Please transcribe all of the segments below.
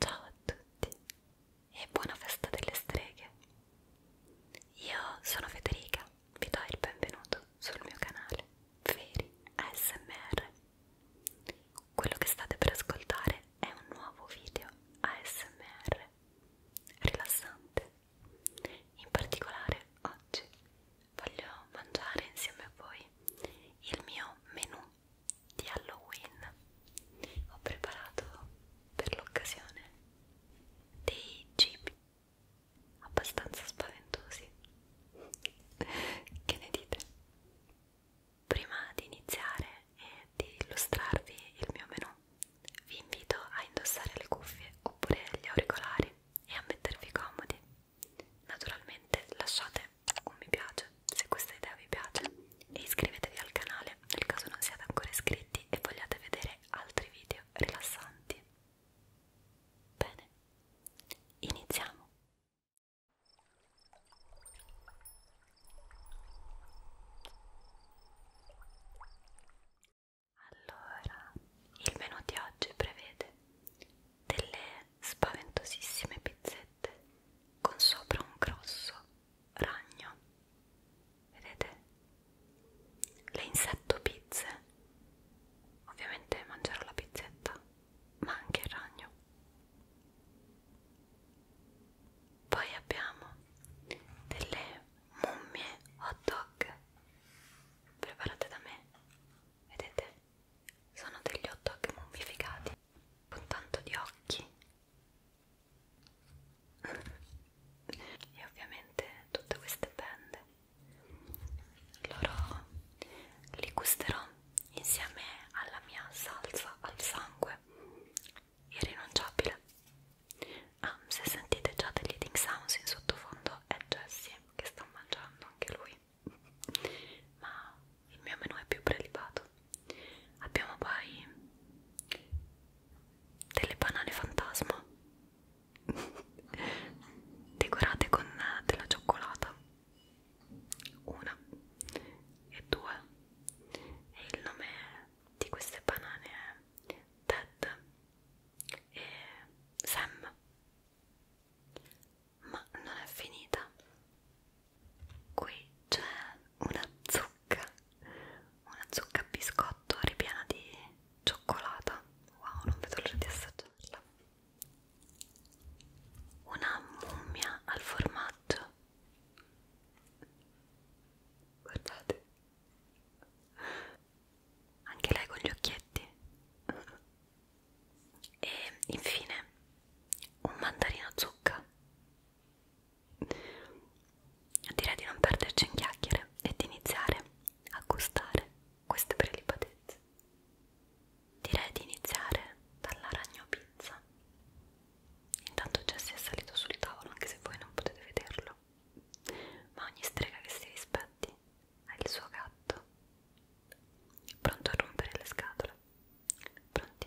Ciao a tutti e buona festa delle streghe. Io sono Federica, vi do il benvenuto sul mio canale Veri ASMR. Quello che state per ascoltare è un nuovo video ASMR rilassante. In particolare oggi voglio mangiare insieme a voi il mio menù di Halloween ho preparato per l'occasione dei cibi abbastanza spaventosi che ne dite? prima di iniziare e di illustrarvi il mio menù vi invito a indossare le cuffie oppure gli auricolari e a mettervi comodi naturalmente lasciate un mi piace se questa idea vi piace e iscrivetevi al canale nel caso non siate ancora iscritti e vogliate vedere altri video rilassanti. Bene, iniziamo! Allora, il menù di oggi prevede delle spaventosissime pizzette riflettente con sopra un grosso ragno. Vedete? Le insetto pizze. Ovviamente mangerò la pizzetta, ma anche il ragno. Poi abbiamo delle mummie hot dog preparate da me. Vedete? Sono degli hot dog mummificati con tanto di occhi e ovviamente tutte queste bende loro li gusterò insieme alla mia salsa al sangue irrinunciabile ah, se sentite già degli eating sounds in sottofondo è Jessie che sta mangiando anche lui ma il mio menù è più prelibato abbiamo poi delle banane fantasma decorate con della cioccolata una e due e il nome di queste banane è Ted e Sam ma non è finita qui c'è una zucca una zucca a biscotto ripiena di cioccolata wow non vedo l'ora di assaggiarla una mummia al formaggio guardate anche lei con gli occhietti e infine un mandarino zucca Direi di non perderci in chiacchiere e di iniziare a gustare queste prelibatezze. Direi di iniziare dalla ragno pizza. Intanto Jesse è salito sul tavolo, anche se voi non potete vederlo. Ma ogni strega che si rispetti ha il suo gatto. Pronto a rompere le scatole. Pronti?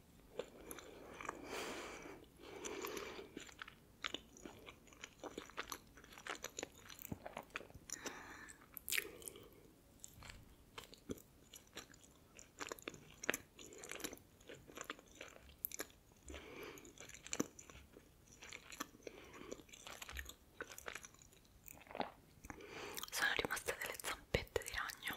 Sono rimaste delle zampette di ragno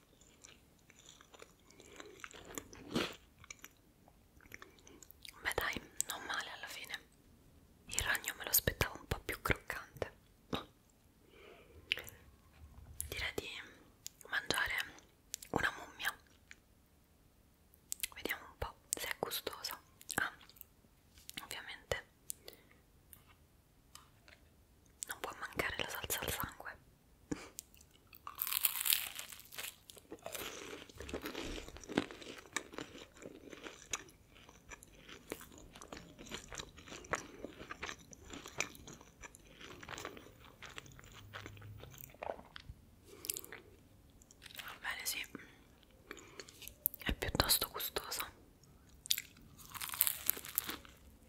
Beh dai, non male alla fine. Il ragno me lo aspettavo un po' più croccante. Direi di mangiare una mummia. Vediamo un po' se è gustosa. Ah, ovviamente non può mancare la salsa al sangue bene sì è piuttosto gustosa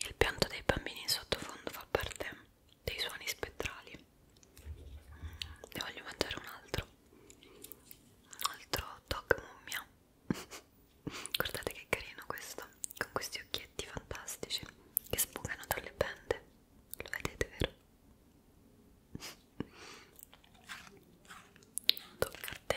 Il pianto dei bambini in sottofondo fa parte dei suoni spettrali. Ne voglio mangiare un altro. Un altro dog mummia. Guardate che carino questo, con questi occhietti fantastici che sfugano dalle pende. Lo vedete, vero? どっかって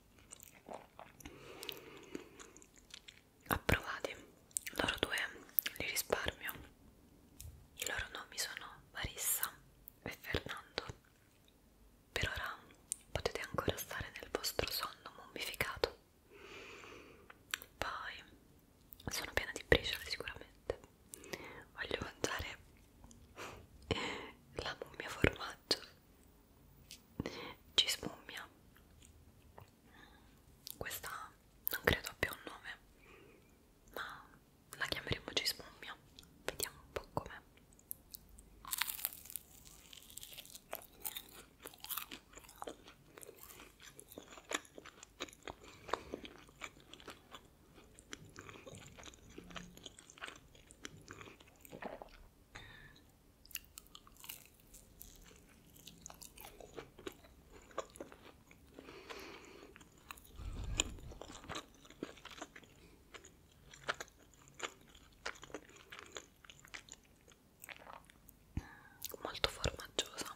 approvati loro due li risparmio i loro nomi sono Marissa e Fernando per ora potete ancora stare nel vostro sonno mummificato poi sono piena di briciole sicuramente voglio mangiare la mummia formaggio ci smummia questa non credo abbia un nome ma la chiameremo cismummia vediamo un po' com'è molto formaggiosa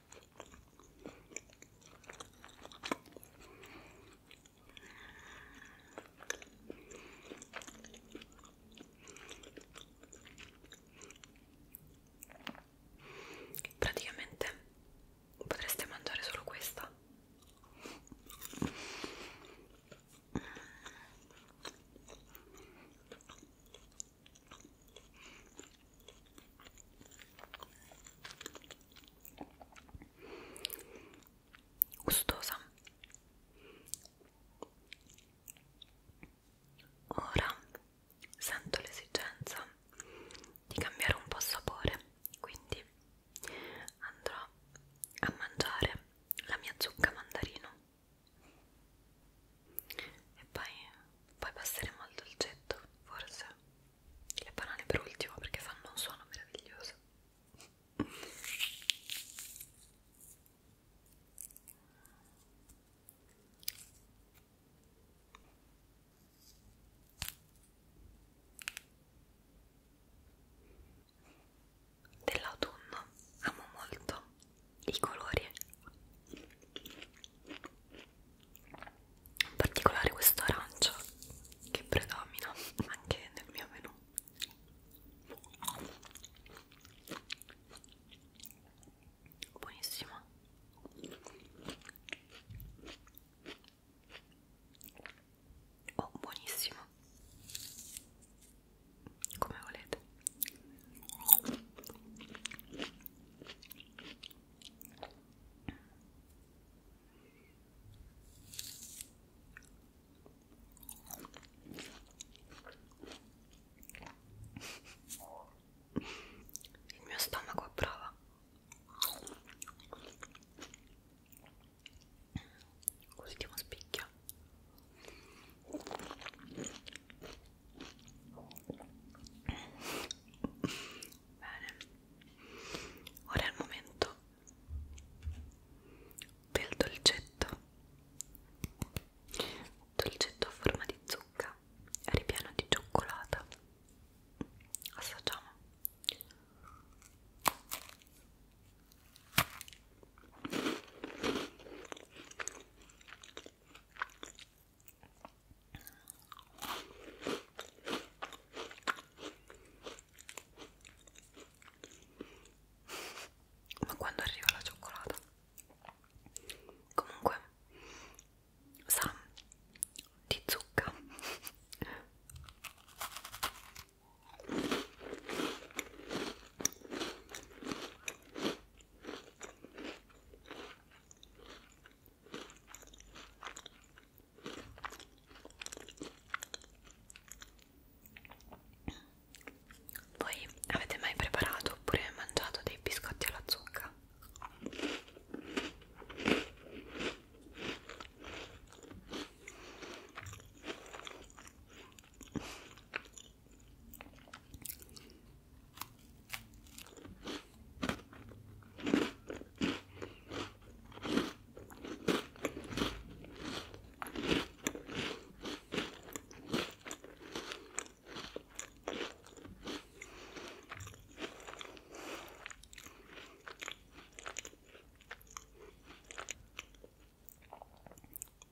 Praticamente potreste mangiare solo questa gustosa ora sento l'esigenza di cambiare un po' sapore quindi andrò a mangiare la mia zucca mandarino e poi poi passeremo al dolcetto forse le banane per ultimo perché fanno un suono meraviglioso dell'autunno amo molto i colori in particolare questo arancio che predomina anche nel mio menù buonissimo oh buonissimo come volete il mio stomaco a prova. Ultimo spicchio. Bene, ora è il momento del dolcetto, dolcetto a forma di zucca, ripieno di cioccolata. Assaggiamo ma quando arriva la cioccolata comunque sa di zucca voi avete mai preparato oppure mangiato dei biscotti alla zucca?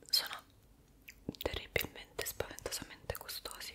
Sono terribilmente spaventosamente gustosi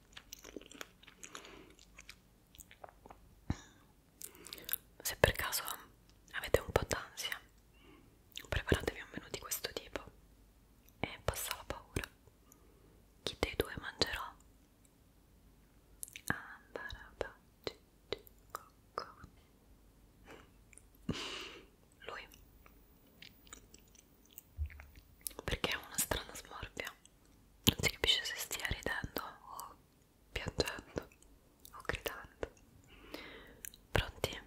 se per caso avete un po' d'ansia preparatevi a un menù di questo tipo e passa la paura chi dei due mangerò? lui perché ha una strana smorfia non si capisce se stia ridendo o piangendo o gridando pronti?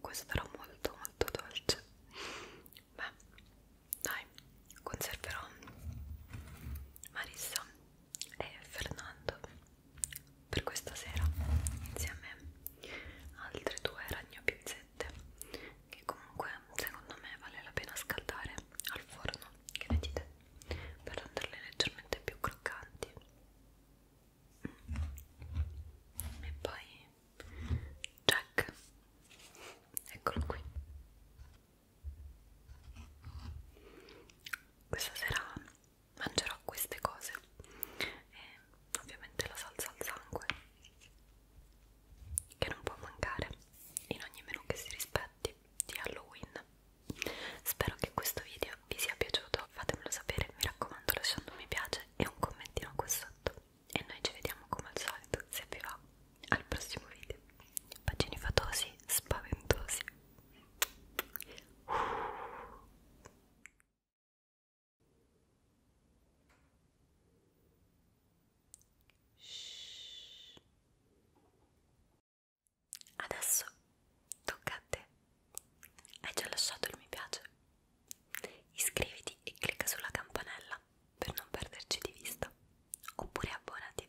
questo era molto molto dolce beh dai conserverò Marissa e Fernando per questa sera insieme a altre due ragnopizzette che comunque secondo me vale la pena scaldare al forno che ne dite per renderle leggermente più croccanti mm. e poi Jack eccolo qui questa sera mangerò queste cose e ovviamente la salsa al sangue che non può mancare in ogni menù che si rispetti di Halloween. Spero che questo video vi sia piaciuto, fatemelo sapere, mi raccomando lasciando un mi piace e un commentino qua sotto. E noi ci vediamo come al solito, se vi va, al prossimo video. Pagini fatosi, spaventosi. Adesso tocca a te. Hai già lasciato il mi piace? Iscriviti e clicca sulla campanella per non perderci di vista. Oppure abbonati